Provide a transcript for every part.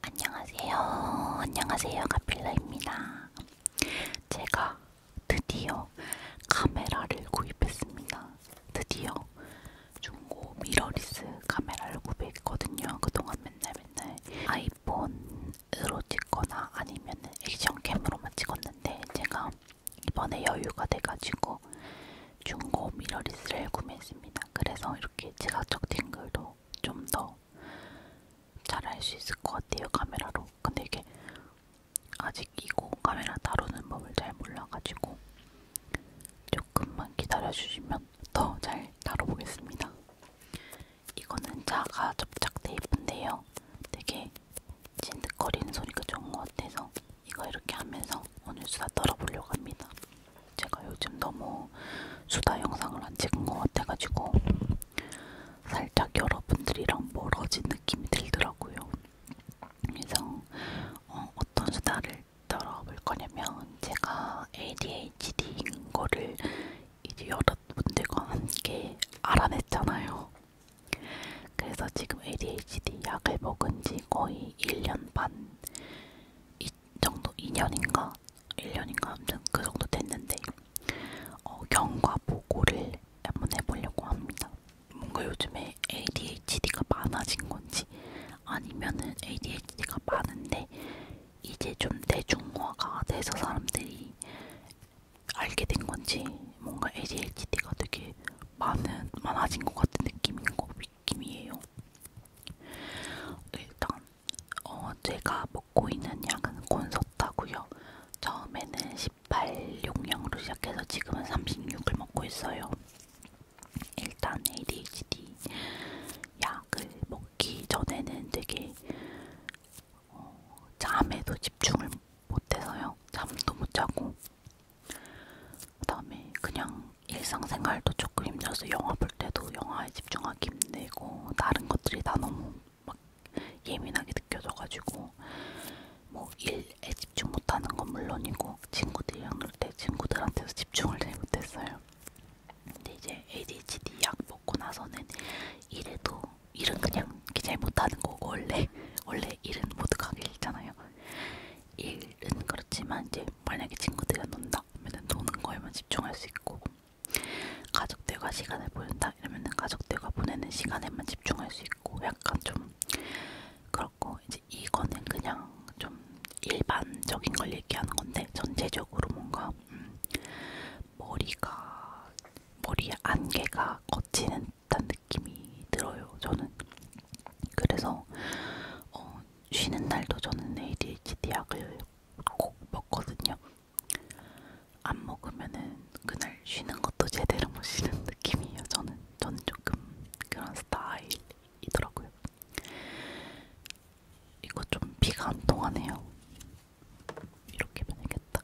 안녕하세요. 안녕하세요. 가필라입니다. 제가 드디어 카메라를 구입했습니다. 드디어 중고 미러리스 카메라를 구입했거든요. 그동안 맨날 맨날 아이폰으로 찍거나 아니면 액션캠으로만 찍었는데 제가 이번에 여유가 돼가지고 중고 미러리스를 구매했습니다. 그래서 이렇게 지각적 팅글도 좀 더 잘할 수 있을 것 같아요 카메라로. 근데 이게 아직 이거 카메라 다루는 법을 잘 몰라가지고 조금만 기다려주시면 더 잘 다뤄보겠습니다. 이거는 자가 접착 테이프인데요. 되게 진득거리는 소리가 좋은 것 같아서 이거 이렇게 하면서 오늘 수다 떨어보려고 합니다. 제가 요즘 너무 수다 영상을 안 찍은 것 같아가지고 살짝 여러분들이랑 멀어진 느낌이 들더라고요. 그래서 어, 어떤 수다를 떨어볼 거냐면 제가 ADHD인 거를 이제 여러분들과 함께 알아냈잖아요. 그래서 지금 ADHD 약을 먹은 지 거의 1년 반이 정도 2년인가 1년인가 아무튼 그 정도 됐는데 어, 경과 보고를 한번 해보려고 합니다. 뭔가 요즘에 ADHD가 많아진 건지 아니면은 ADHD가 많은데 이제 좀 대중화가 돼서 사람들이 알게 된 건지 뭔가 ADHD가 되게 많은, 많아진 것 같은 느낌인 거, 느낌이에요. 일단, 어, 제가 먹고 있는 약은 콘서트고요. 처음에는 18 용량으로 시작해서 지금은 36을 먹고 있어요. 일단 ADHD e 약을 먹기 전에는 되게 어, 잠에도 집중을 못해서요. 잠도 못 자고 그 다음에 그냥 일상생활도 조금 힘들어서 영화 볼 때도 영화에 집중하기 힘들고 다른 것들이 다 너무 막 예민하게 느껴져가지고 뭐 일에 집중 못하는 건 물론이고 친구들이랑 놀때 친구들한테도 집중을 잘 못했어요. 근데 이제 ADHD 약 먹고 나서는 일에도 일은 그냥 잘 못하는 거고 원래 원래 일은 모두가 일잖아요. 일은 그렇지만 이제 만약에 친구들이랑 논다 그러면 노는 거에만 집중할 수 있고 가족들과 시간을 보낸다 이러면 가족들과 보내는 시간에만 집중할 수 있고 약간 좀 그렇고 이제 이거는 그냥 좀 일반적인 걸 얘기하는 건데 전체적으로 뭔가 음 머리가 머리의 안개가 걷히는 듯한 느낌이 들어요. 저는 그래서 어, 쉬는 날도 저는 ADHD 약을 꼭 먹거든요. 안 먹으면은 그날 쉬는 것도 제대로 못 쉬는 느낌이에요. 저는 저는 조금 그런 스타일이더라고요. 이거 좀 비가 안 통하네요. 이렇게 변했겠다.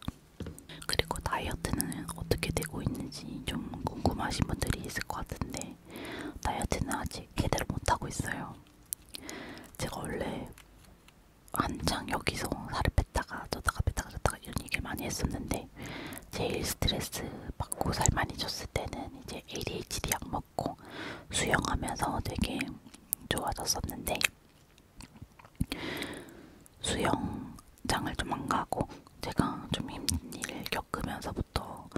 그리고 다이어트는 어떻게 되고 있는지 좀 궁금하신 분들이 있을 것 같은데 다이어트는 아직 제대로 못하고 있어요. 제가 원래 한창 여기서 살을 뺐다가 쪘다가 뺐다가 쪘다가 이런 얘기를 많이 했었는데 제일 스트레스 받고 살 많이 쪘을 때는 이제 ADHD 약 먹고 수영하면서 되게 좋아졌었는데 수영장을 좀 안 가고 제가 좀 힘든 일을 겪으면서부터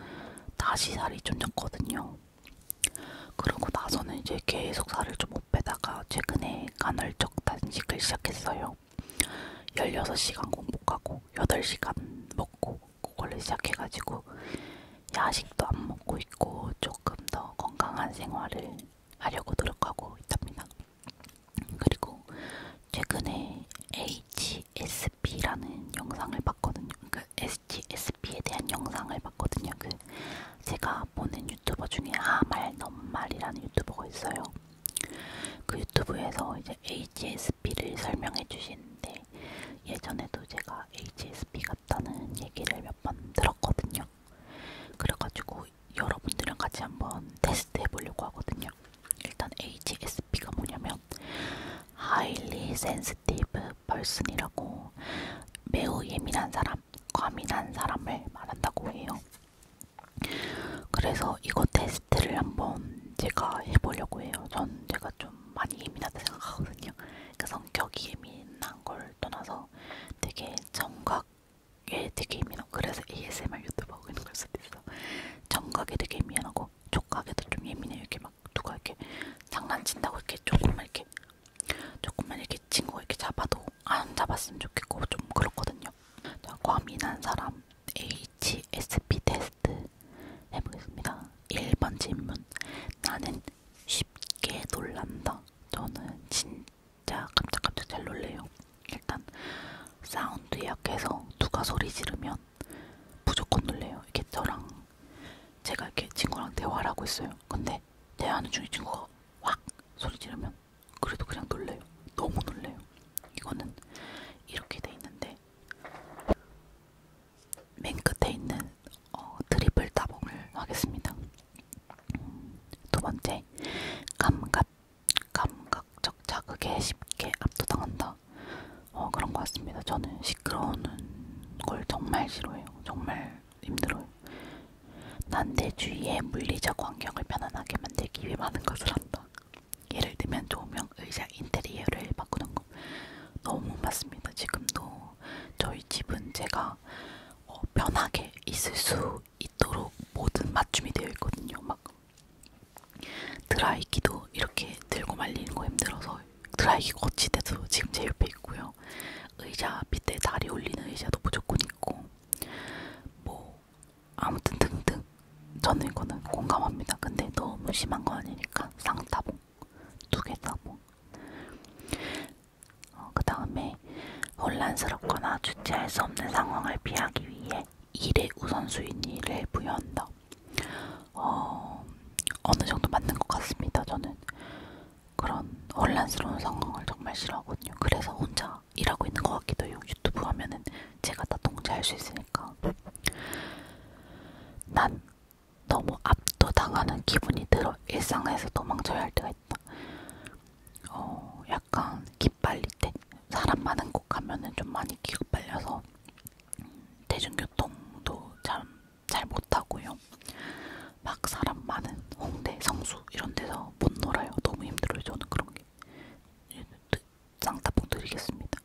다시 살이 좀 쪘거든요. 그러고 나서는 이제 계속 살을 좀 못 빼다가 최근에 간헐적 단식을 시작했어요. 16시간 공복하고 8시간 먹고 그걸로 시작해가지고 야식도 안 먹고 있고 조금 더 건강한 생활을 하려고 노력하고 있답니다. 그리고 최근에 HSP라는 영상을 봤거든요. 그 HSP에 대한 영상을 봤거든요. 그 제가 보는 유튜버 중에 아말 넘말이라는 유튜버가 있어요. 그 유튜브에서 이제 HSP를 설명해 주시는데 예전에도 제가 HSP 같다는 얘기를 몇 번 들었거든요. 그래가지고 여러분들이랑 같이 한번 테스트해 보려고 하거든요. 일단 HSP가 뭐냐면 Highly Sensitive Person이라고 매우 예민한 사람, 과민한 사람을 말한다고 해요. 그래서 이거 테스트를 한번 제가 해보려고 해요. 전 제가 좀 많이 예민하다 생각하거든요. 그 성격이 예민한 걸 떠나서 되게 정각 게 되게 예민하고 그래서 ASMR 유튜브 하고 있는 걸 수도 있어 정각에 되게 예민하고 촉각에도 좀 예민해 이렇게 막 누가 이렇게 장난친다고 이렇게 조금만 이렇게 조금만 이렇게 친구가 이렇게 잡아도 안 잡았으면 좋겠고 좀 그렇거든요 자 과민한 사람 HSP 테스트 해보겠습니다 1번 질문 나는 쉽게 놀란다 저는 진짜 진짜 깜짝깜짝 잘 놀래요. 일단 사운드 약해서 누가 소리 지르면 무조건 놀래요. 이게 저랑 제가 이렇게 친구랑 대화를 하고 있어요. 근데 대화하는 중에 친구가 확 소리 지르면 그래도 그냥 놀래요. 너무 놀래요. 이거는 이렇게 돼 있는데 맨 끝에 있는 어, 트리플 따봉을 하겠습니다. 음, 두 번째 감각 갑, 감각적 자극에 쉽게 압도당한다. 어, 그런 것 같습니다. 저는 시끄러운 걸 정말 싫어해요. 정말 힘들어요. 난 내 주위의 물리적 환경을 편안하게 만들기 위해 많은 것을 한다. 예를 들면 조명, 의자, 인테리어를 바꾸는 것. 너무 맞습니다. 지금도 저희 집은 제가 어, 편하게 있을 수 있도록 모든 맞춤이 되어 있거든요. 막 드라이기도 이렇게 들고 말리는 거 힘들어서 드라이기 거치대도 지금 제 옆에 있고요. 의자 밑에 다리 올리는 의자도 무조건 있고 뭐 아무튼 등등 저는 이거는 공감합니다. 근데 너무 심한 거 아니니까 쌍따봉 두개 따봉. 어, 그 다음에 혼란스럽거나 주체할 수 없는 상황을 피하기 위해 일의 우선순위를 일 부여한다. 어, 어느 정도 맞는 것 같습니다. 저는 그런 혼란스러운 상황을 정말 싫어하거든요. 그래서 혼자 일하고 있는 것 같기도 해요. 유튜브 하면은 제가 다 통제할 수 있으니까. 난 너무 압도당하는 기분이 들어 일상에서 도망쳐야 할 때가 있다. 어, 약간 기빨릴 때 사람 많은 곳 가면은 좀 많이 기가 빨려서 대중교통도 참 잘못 타고요. 막 사람 많은 홍대, 성수 이런 데서 못 놀아요. 너무 힘들어요. 저는 그런 게. 예, 쌍따봉 드리겠습니다.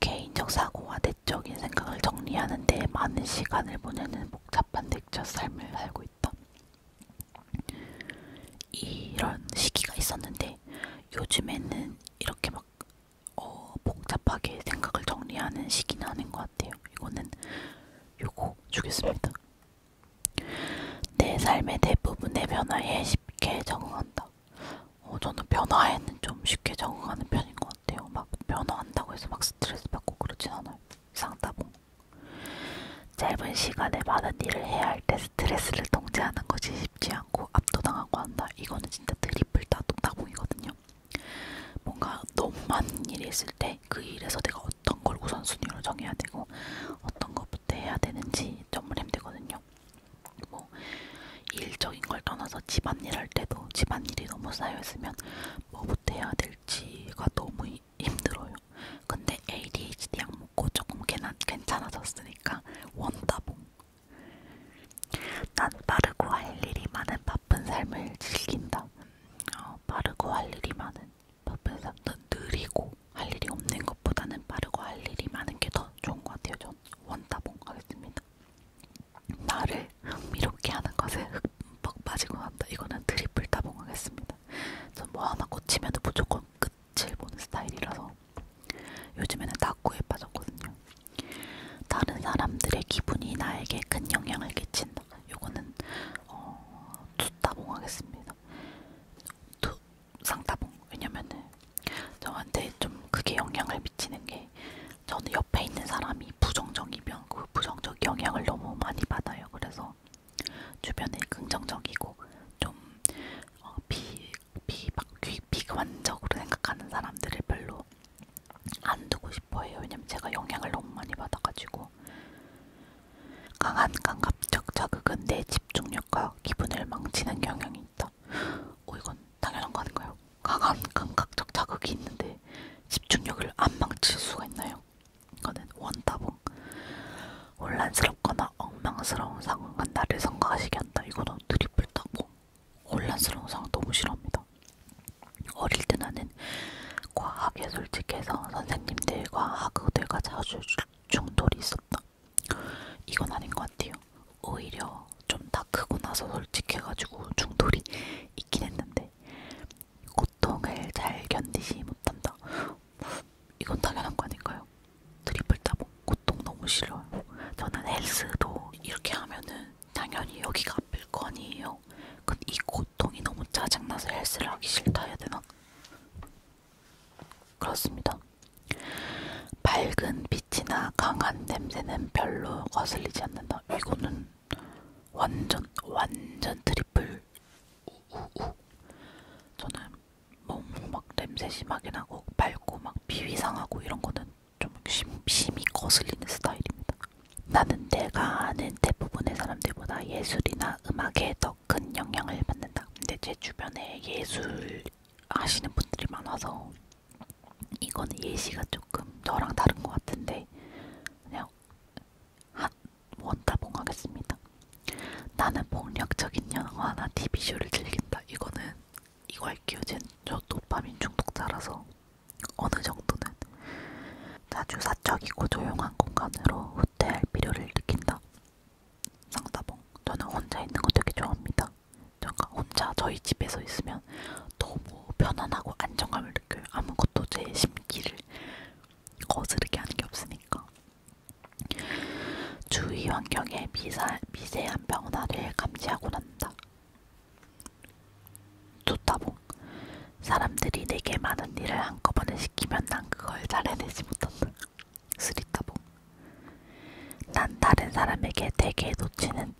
개인적 사고와 내적인 생각을 정리하는 데 많은 시간을 보내는 복잡한 넥처 삶을 살고 있다. 이런 시기가 있었는데 요즘에는 이렇게 막 어, 복잡하게 생각을 정리하는 시기는 아닌 것 같아요. 이거는 요거 주겠습니다. 내 삶의 대부분의 변화에 쉽게 적응한다. 어, 저는 변화에는 좀 쉽게 적응하는 편인 것 같아요. 막 변화한다고 해서 막 스트레스 받고 그러진 않아요. 이상 따봉. 뭐. 짧은 시간에 많은 일을 해야 할 때 스트레스를 통제하는 것이 쉽지 않고 압도당하고 한다. 이거는 진짜 드리플 따봉이거든요. 뭔가 너무 많은 일이 있을 때 그 일에서 내가 어떤 걸 우선순위로 정해야 되고 어떤 것부터 해야 되는지 정말 힘들거든요. 뭐 일적인 걸 떠나서 집안일 할 때도 집안일이 너무 쌓여 있으면 뭐부터 해야 될지가 너무 힘들어요. 근데 ADHD 약 먹고 조금 괜찮아졌으니까 원다봉. 난 빠르고 할 일이 많은 바쁜 삶을 즐긴다. 어, 빠르고 할 일이 많은 바쁜 삶. 느리고 할 일이 없는 것보다는 빠르고 할 일이 많은 게 더 좋은 것 같아요. 전 원다봉 하겠습니다. 나를 흥미롭게 하는 것에 흠뻑 빠지고 난다. 이거는 트리플 다봉 하겠습니다. 전 뭐 하나 꽂히면 무조건 끝을 보는 스타일이라서 요즘에는 낙구에 빠졌거든요. 다른 사람들의 기분이 나에게 큰 영향을 끼친다. 요거는 어, 투따봉 하겠습니다. 투 상따봉. 왜냐면은 저한테 좀 그게 영향을 미치는 게 저는 옆에 있는 사람이 부정적이면 그 부정적 영향을 너무 많이 받아요. 그래서 있어서 주변에 긍정적이고 좀 어, 비, 비, 막 비, 비관적으로 생각하는 사람들을 별로 안 두고 싶어해요. 왜냐면 제가 영향을 너무 많이 받아가지고 강한 감각적 자극은 내 집중력과 기분을 망치는 경향이 있다. 어 이건 당연한 거 아닌가요? 강한 감각적 자극이 있는데 집중력을 안 망칠 수가 있나요? 이거는 원타봉 혼란스럽거나 엉망스러운 상황과 나를 성가시게 한다. 이거는 드리플 타봉 혼란스러운 상황 너무 싫어합니다. 어릴 때 나는 과학에 솔직해서 선생님들과 학우들과 자주 충돌이 있었다. 이건 아닌 것 같아요. 오히려 좀 다 크고 나서 솔직해가지고 충돌이 있긴 했는데 그 고통을 잘 견디지 못한다. 이건 당연한 거 아닌가요? 드리블 따봉 뭐 고통 너무 싫어요. 저는 헬스도 이렇게 하면은 당연히 여기가 아플 거 아니에요. 근데 이 고통이 너무 짜증나서 헬스를 하기 싫다 해야 되나? 그렇습니다. 밝은 빛이나 강한 냄새는 별로 거슬리지 않는다. 이거는 완전 완전 트리플 우우우 저는 몸막 냄새 심하게 나고 밝고 막 비위상하고 이런 거는 좀 심, 심히 거슬리는 스타일입니다. 나는 내가 아는 대부분의 사람들보다 예술이나 음악에 더 큰 영향을 받는다. 근데 제 주변에 예술 하시는 분들이 많아서 이거는 예시가 조금 저랑 다른 것 같은데 그냥 한 원타봉 하겠습니다. 나는 폭력적인 영화나 TV쇼를 즐긴다. 이거는 이거 할게요. 저 도파민 중독자라서 어느 정도는 자주 사적이고 조용한 공간으로 후퇴할 필요를 느낀다. 상다봉 저는 혼자 있는 거 되게 좋아합니다. 잠깐 혼자 저희 집에서 있으면 너무 편안하고 안정감을 느껴요. 아무것도 제 심기를 거스르게 하는 게 없으니까. 주위 환경의 미사, 미세한 변화를 감지하고 난다. 좋다봉. 사람들이 내게 많은 일을 한꺼번에 시키면 난 그걸 잘해내지 못한다. 쓰리따봉. 난 다른 사람에게 대개 놓치는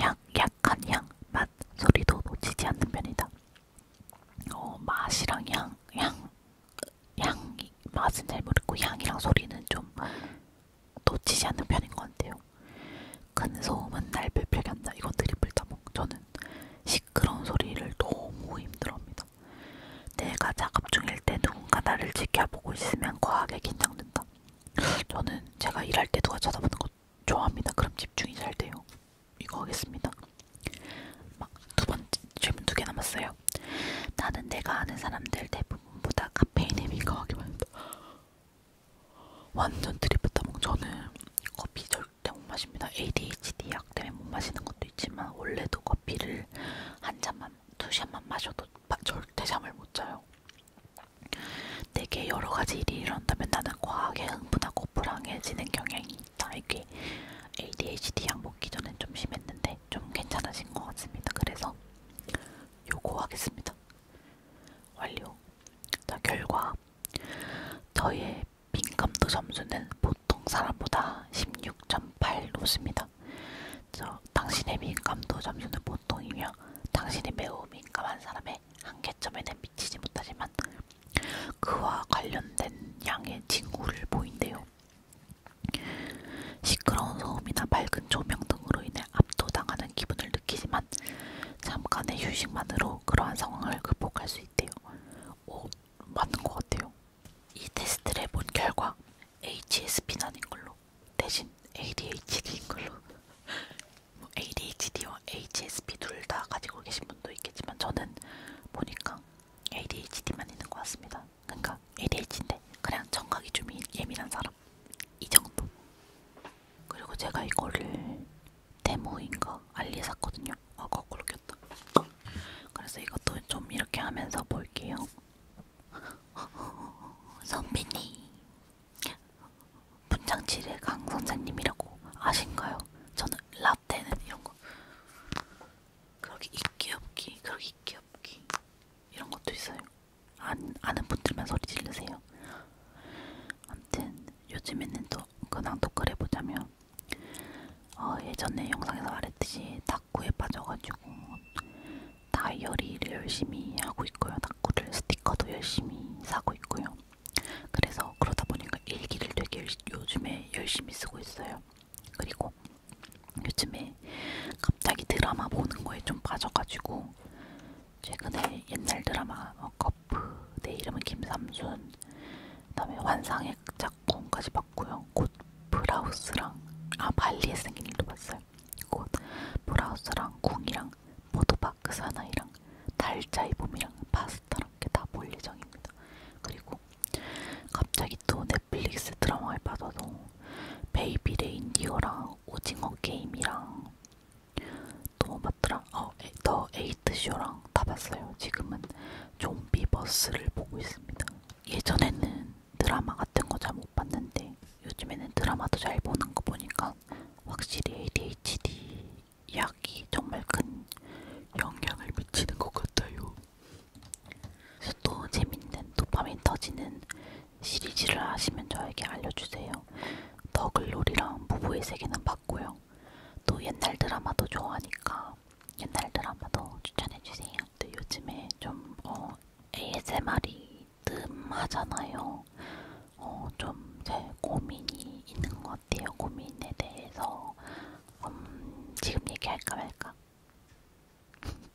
향, 약한 향, 맛, 소리도 놓치지 않는 편이다. 어, 맛이랑 향, 향, 향, 맛은 잘 모르고 향이랑 소리는 좀 놓치지 않는 편인 것 같아요. 큰 소음은 날 불편하게 한다. 이건 드리블 따봉. 저는 시끄러운 소리를 너무 힘들어합니다. 내가 작업 중일 때 누군가 나를 지켜보고 있으면 과하게 긴장된다. 저는 제가 일할 때 누가 쳐다보는 거 좋아합니다. 그럼 집중이 잘 돼요. 이거 하겠습니다. 막 두 번째 질문 두 개 남았어요. 나는 내가 아는 사람들 대부분보다 카페인에 민감하게 만든다. 완전 드립했다몽 저는 커피 절대 못 마십니다. ADHD 약 때문에 못 마시는 것도 있지만 원래도 커피를 한 잔만 두 잔만 마셔도 마, 절대 잠을 못 자요. 내게 여러 가지 일이 일어난다면 나는 과하게 흥분하고 불황해지는 경향이 진짜 이게 ADHD 약 먹기 전엔 좀 심했는데 좀 괜찮아진 것 같습니다. 그래서 요거 하겠습니다. 완료. 자 결과 저의 민감도 점수는 보통 사람보다 16.8높습니다. 저 당신의 민감도 점수는 보통이며 당신이 매우 민감한 사람의 한계점에는 미치지 못하지만 그와 관련된 양의 징후를 보인대요. 시끄러운 소음이나 밝은 조명 등으로 인해 압도당하는 기분을 느끼지만 잠깐의 휴식만으로 그러한 상황을 극복할 수 있대요. 오, 맞는 것 같아요. 이 테스트를 해본 결과 HSP는 아닌 걸로 대신 ADHD인 걸로 뭐 ADHD와 HSP 둘 다 가지고 계신 분도 있겠지만 저는 보니까 ADHD만 있는 것 같습니다. 그러니까 ADHD인데 그냥 청각이 좀 예, 예민한 사람 이 정도. 그리고 제가 이거를 데모인가 알리에 샀거든요. 아 거꾸로 꼈다. 그래서 이것도 좀 이렇게 하면서 볼게요. 선배님 분장칠의 강 선생님이라고 아신가요? 저는 랍 라떼는 이런 거. 그러기 입기 없기, 그러기 입기 없기 이런 것도 있어요. 안, 아는 분들만 소리 지르세요. 아무튼 요즘에는 또 그냥 토크를 해보자면 어, 예전에 영상에서 말했듯이 탁구에 빠져가지고 다이어리를 열심히 하고 있고요. 탁구를 스티커도 열심히 사고 있고요. 그래서 그러다 보니까 일기를 되게 요즘에 열심히 쓰고 있어요. 그리고 요즘에 갑자기 드라마 보는 거에 좀 빠져가지고 최근에 옛날 드라마 어, 커프, 내 이름은 김삼순, 그다음에 환상의 작품까지 봤고요. 곧 브라우스랑 아 발리에 생긴 일도 봤어요. 곧 브라우스랑 궁이랑 포도바크 사나이랑 달자이 봄이랑 파스타 사람께 다볼 예정입니다. 그리고 갑자기 또 넷플릭스 드라마에 빠져서 베이비 레인디어랑 오징어 게임이랑 또 맞더라. 뭐 어, 더 에이트 쇼랑 다 봤어요. 지금은 좀비 버스를 보고 있습니다. 예전에는 드라마 같은 거 잘 못 봤는데 요즘에는 드라마도 잘 보는 거 보니까 확실히 ADHD 약이 정말 큰 영향을 미치는 것 같아요. 그래서 또 재밌는 도파민 터지는 시리즈를 아시면 저에게 알려주세요. 더글로리랑 부부의 세계는 봤고요. 또 옛날 드라마도 좋아하니까 옛날 드라마도 추천해주세요. 또 요즘에 좀 어, ASMR이 뜸하잖아요. 어, 좀제 고민이 있는 것 같아요. 고민에 대해서 음, 지금 얘기할까 말까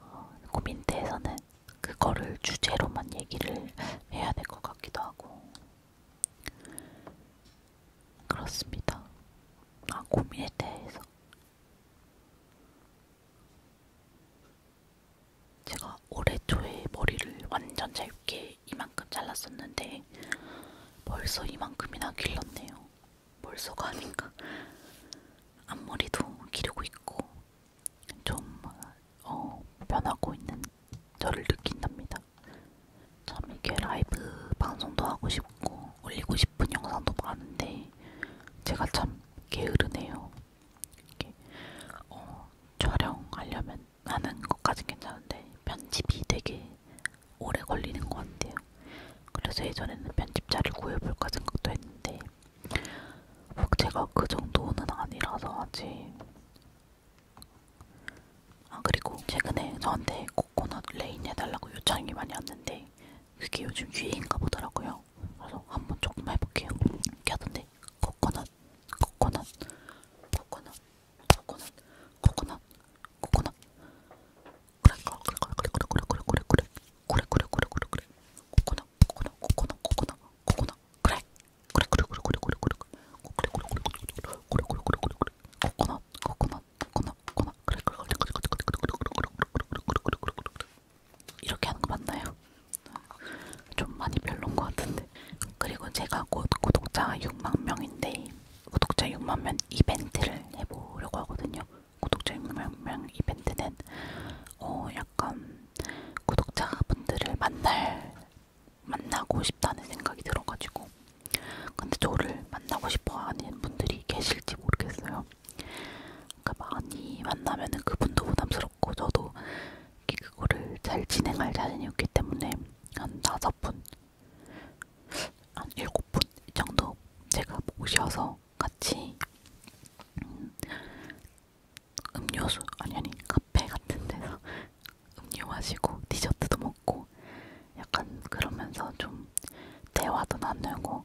어, 고민대에서는 그거를 주제로만 얘기를 해야 될 것 같기도 하고 그렇습니다. 아 고민에 대해서 제가 올해 초에 머리를 완전 짧게 이렇게 이만큼 잘랐었는데 벌써 이만큼이나 길렀네요. 벌써가 아닌가? 앞머리도 기르고 있고 좀 어, 변하고 있는 저를 느낀답니다. 참 이게 라이브 방송도 하고 싶고 올리고 싶은 영상도 많은데 제가 참 게으르네요. 이렇게 어, 촬영하려면 하는 것까진 괜찮은데 편집이 되게 오래 걸리는 것 같아요. 그래서 예전에는 편집자를 구해볼까 생각도 했는데 제가 그 정도는 아니라서 아직 아 그리고 최근에 저한테 코코넛 레인 해달라고 요청이 많이 왔는데 그게 요즘 유행인가 보더라고요. 그래서 한번 조금 해볼게요. 이렇게 하던데 코코넛 코코넛 코코넛 코코넛, 코코넛, 코코넛. 그래, 그래, 그래, 그래, 그래, 그래, 그래, 그래, 그래, 그래, 그래, 그래, 그래, 그래. 코코넛, 코코넛, 코코넛, 코코넛, 코코넛. 그래, 그래, 그래, 그래, 그래, 그래, 그래, 그래, 그래, 그래, 그래, 그래, 그래, 그래, 그래, 그래. 코코넛, 코코넛, 코코넛, 코코넛. 그래, 그래, 그래, 그래, 그래, 그래, 그래, 그래, 그래, 그래, 그래, 그래. 이렇게 하는 거 맞나요? 좀 많이 별론 것 같은데 그리고 제가 곧 구독자 6만 명인데 구독자 6만 명 이벤트를 해보려고 하거든요. 구독자 6만 명 이벤트는 어 약간 구독자분들을 만날 만나고 싶다는 생각이 들어가지고 근데 저를 만나고 싶어하는 분들이 계실지 모르겠어요. 그러니까 많이 만나면은 그분도 부담스럽고 저도 그거를 잘 진행할 자신이 없기 때문에 한 다섯 분, 한 일곱 분 정도 제가 모셔서 같이 음, 음료수 아니 아니 카페 같은 데서 음료 마시고 디저트도 먹고 약간 그러면서 좀 대화도 나누고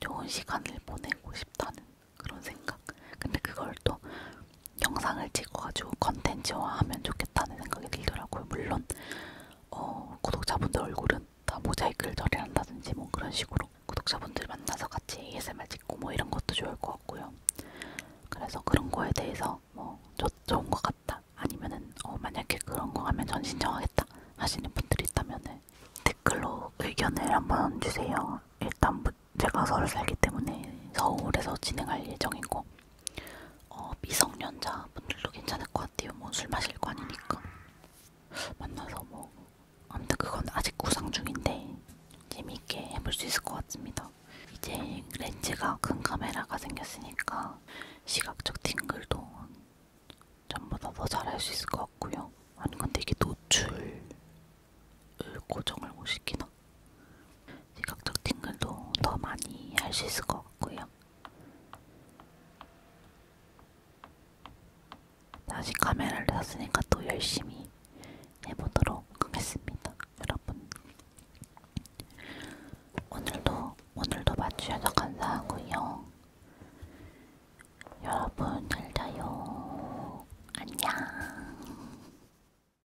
좋은 시간을 보내고 싶다는 그런 생각. 근데 그걸 또 영상을 찍어가지고 컨텐츠화하면 좋겠다는 생각이 들더라고요. 물론 어, 구독자분들 얼굴은 다 모자이크를 처리한다든지 뭐 그런 식으로 구독자분들 만나서 같이 ASMR 찍고 뭐 이런 것도 좋을 것 같고요. 그래서 그런 거에 대해서 뭐 좋, 좋은 것 같다 아니면은 어, 만약에 그런 거 하면 전 신청하겠다 하시는 분들이 있다면은 댓글로 의견을 한번 주세요. 일단 제가 서울 살기 때문에 서울에서 진행할 예정이고 어, 미성년자 분들도 괜찮을 것 같아요. 뭐술 마실 거 아니니까 만나서 뭐 아무튼 그건 아직 구상 중인데 재미있게 해볼 수 있을 것 같습니다. 이제 렌즈가 큰 카메라가 생겼으니까 시각적 팅글도 전보다 더 잘할 수 있을 것 같고요. 아니 근데 이게 노출을 고정을 못 시키나 시각적 팅글도 더 많이 할 수 있을 것 같고요. 다시 카메라를 샀으니까 또 열심히 해보도록 하겠습니다. 여러분 오늘도 오늘도 봐주셔서 감사하고요. 여러분 잘 자요. 안녕.